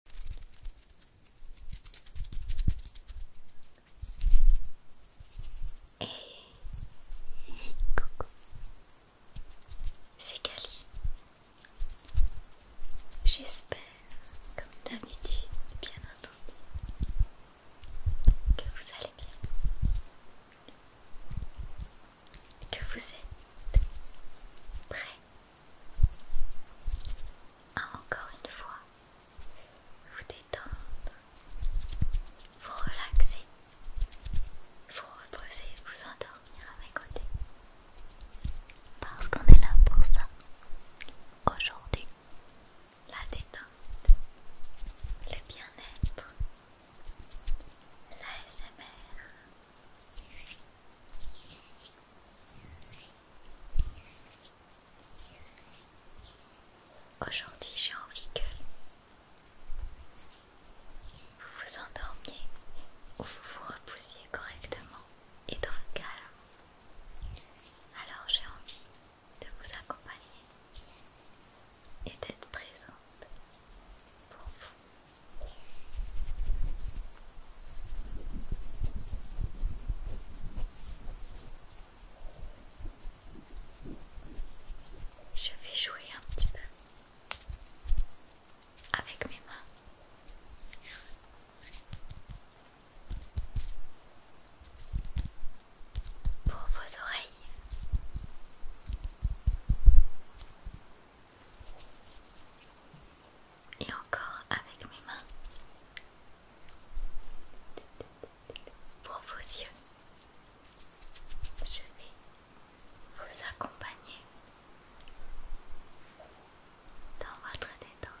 coucou, c'est Cali. J'espère, comme d'habitude, bien entendu, que vous allez bien, que vous êtes prêts encore une fois vous détendre, vous relaxer, vous reposer, vous endormir à mes côtés. Parce qu'on est là pour ça. Aujourd'hui, la détente, le bien-être, l'ASMR. Aujourd'hui, j'ai envie que vous vous endormiez ou vous vous repoussiez correctement et dans le calme. Alors, j'ai envie de vous accompagner et d'être présente pour vous. Je vais jouer un petit peu avec mes mains. Pour vos oreilles et encore avec mes mains pour vos yeux. Je vais vous accompagner dans votre détente.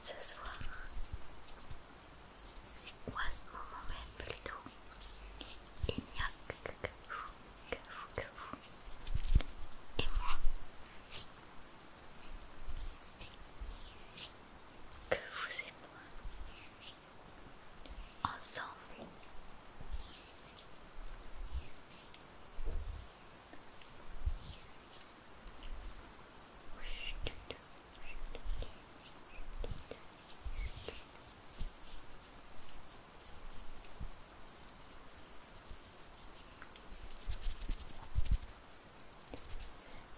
Ce soir, ou à ce moment même plutôt, il n'y a que, que vous, que vous, que vous et moi. Que vous et moi, ensemble,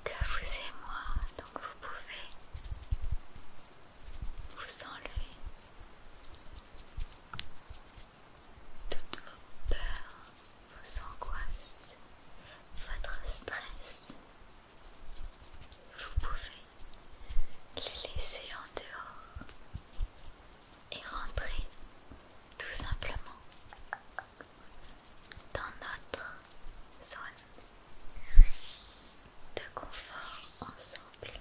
que vous et moi, donc vous pouvez vous enlever toutes vos peurs, vos angoisses, votre stress. Vous pouvez les laisser en dehors et rentrer tout simplement dans notre zone de confort ensemble.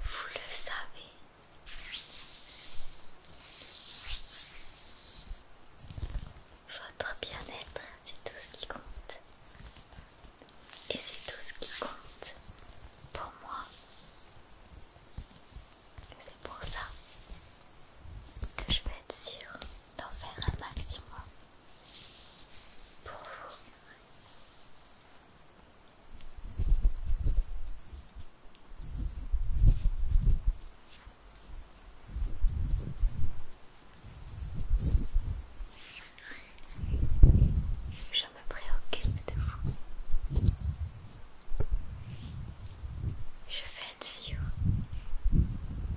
Vous le savez. Votre bien-être, c'est tout ce qui compte. Et c'est tout ce qui compte pour moi. C'est pour ça que je vais être sûre d'en faire un maximum Je me préoccupe de vous. Je vais être sûre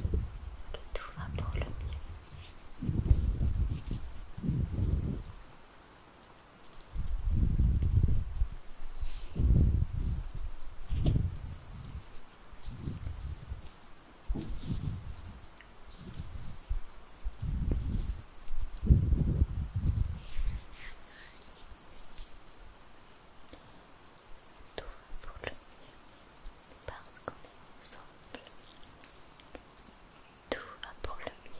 que tout va pour le mieux. Tout va pour le mieux, parce qu'on est ensemble. Tout va pour le mieux.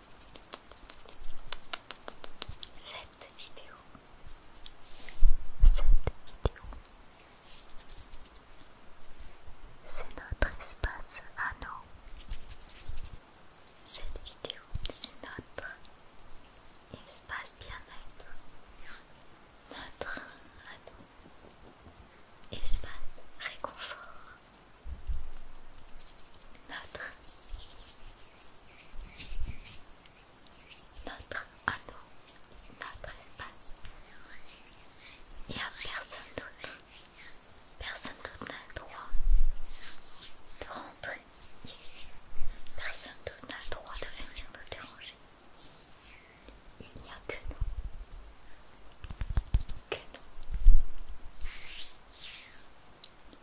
cette vidéo, cette vidéo, c'est notre espace à Cette vidéo, c'est notre espace bien-être, notre espace réconfort. Notre notre anneau, notre espace. Il n'y a personne d'autre. Personne d'autre n'a le droit de rentrer ici. Personne d'autre n'a le droit de venir nous déranger. Il n'y a que nous. Que nous.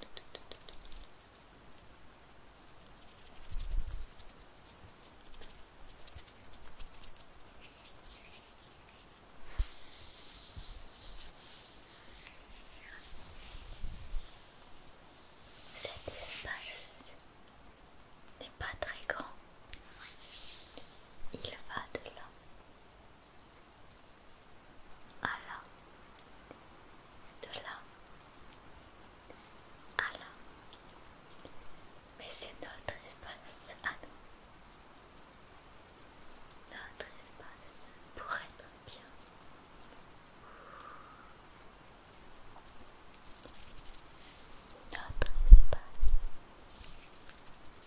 Cet espace n'est pas très grand. Il va de là à de là, à là. Mais c'est notre espace à nous. Notre espace pour être bien. Notre espace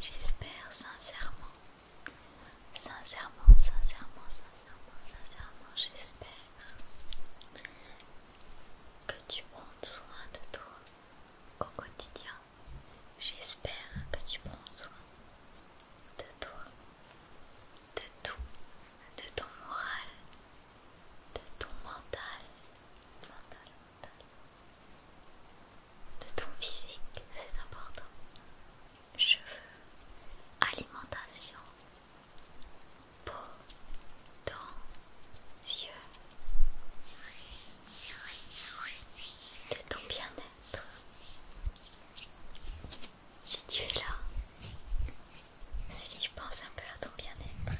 J'espère sincèrement, sincèrement, sincèrement, sincèrement, sincèrement, j'espère que tu prends soin de toi au quotidien. J'espère que tu prends soin de toi, de tout, de ton moral, de ton mental, mental, de ton physique, c'est important. Cheveux, alimentation, peau, dents, yeux, de ton bien-être. Si tu es là, que tu penses un peu à ton bien-être,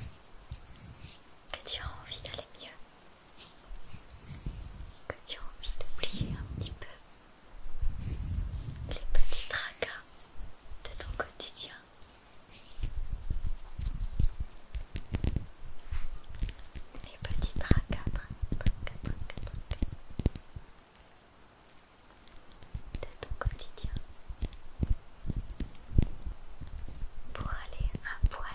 que tu as envie d'aller mieux, que tu as envie d'oublier un petit peu les petits tracas de ton quotidien. Les petits tracas, tracas, tracas, de ton quotidien pour aller à poil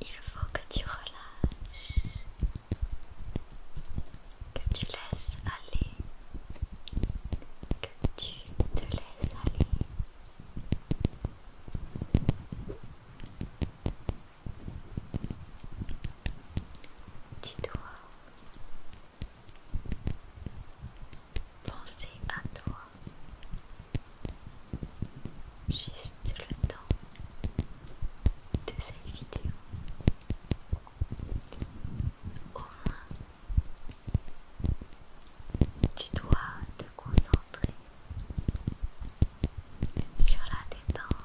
Il faut que tu relâches, que tu laisses aller, que tu te laisses aller. Tu dois penser à toi juste le temps de cette vidéo. Au moins, tu dois te concentrer sur la détente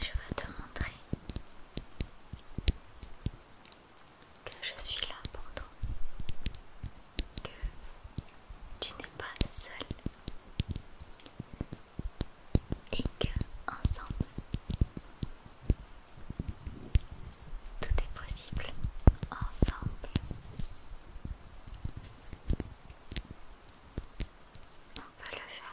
je veux te montrer que je suis là pour toi, que tu n'es pas seul et que ensemble tout est possible ensemble. On va le faire.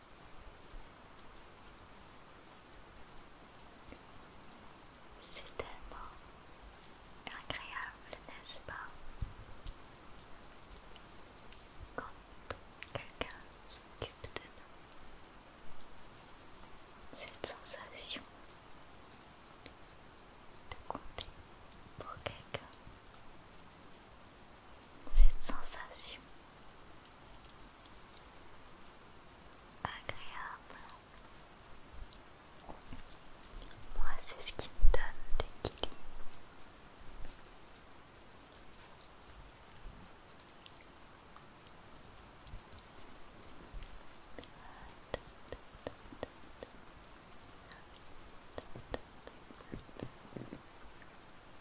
C'est tellement agréable, n'est-ce pas Quand quelqu'un s'occupe de nous, cette sensation de compter pour quelqu'un cette sensation agréable. Moi, c'est ce qui me donne des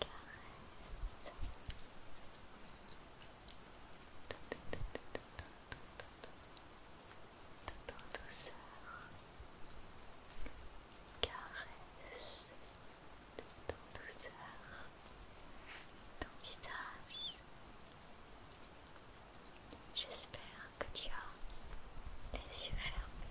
caresse Tout en douceur, caresse tout en douceur ton visage. J'espère que tu as les yeux fermés.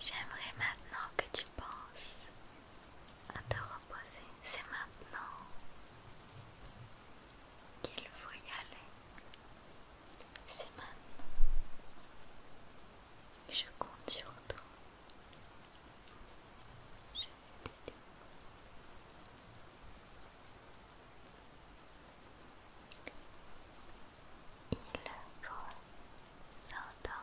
J'aimerais maintenant que tu penses à te reposer. C'est maintenant qu'il faut y aller. C'est maintenant. Je compte sur toi. Je vais Il faut s'endormir.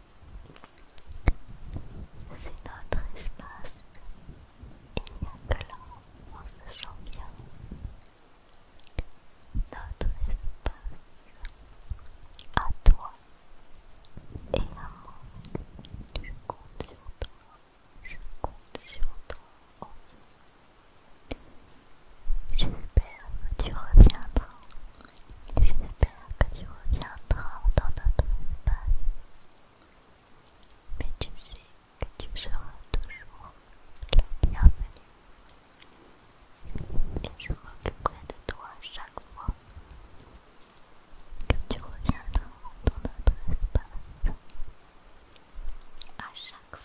C'est notre espace. Il n'y a que là où on se sent bien. Notre espace. À toi et à moi. Je compte sur toi. Je compte sur toi. J'espère que tu reviendras J'espère que tu reviendras dans notre espace. Mais tu sais que tu seras toujours le bienvenu. Et je m'occuperai de toi chaque fois que tu reviendras dans notre espace. À chaque fois.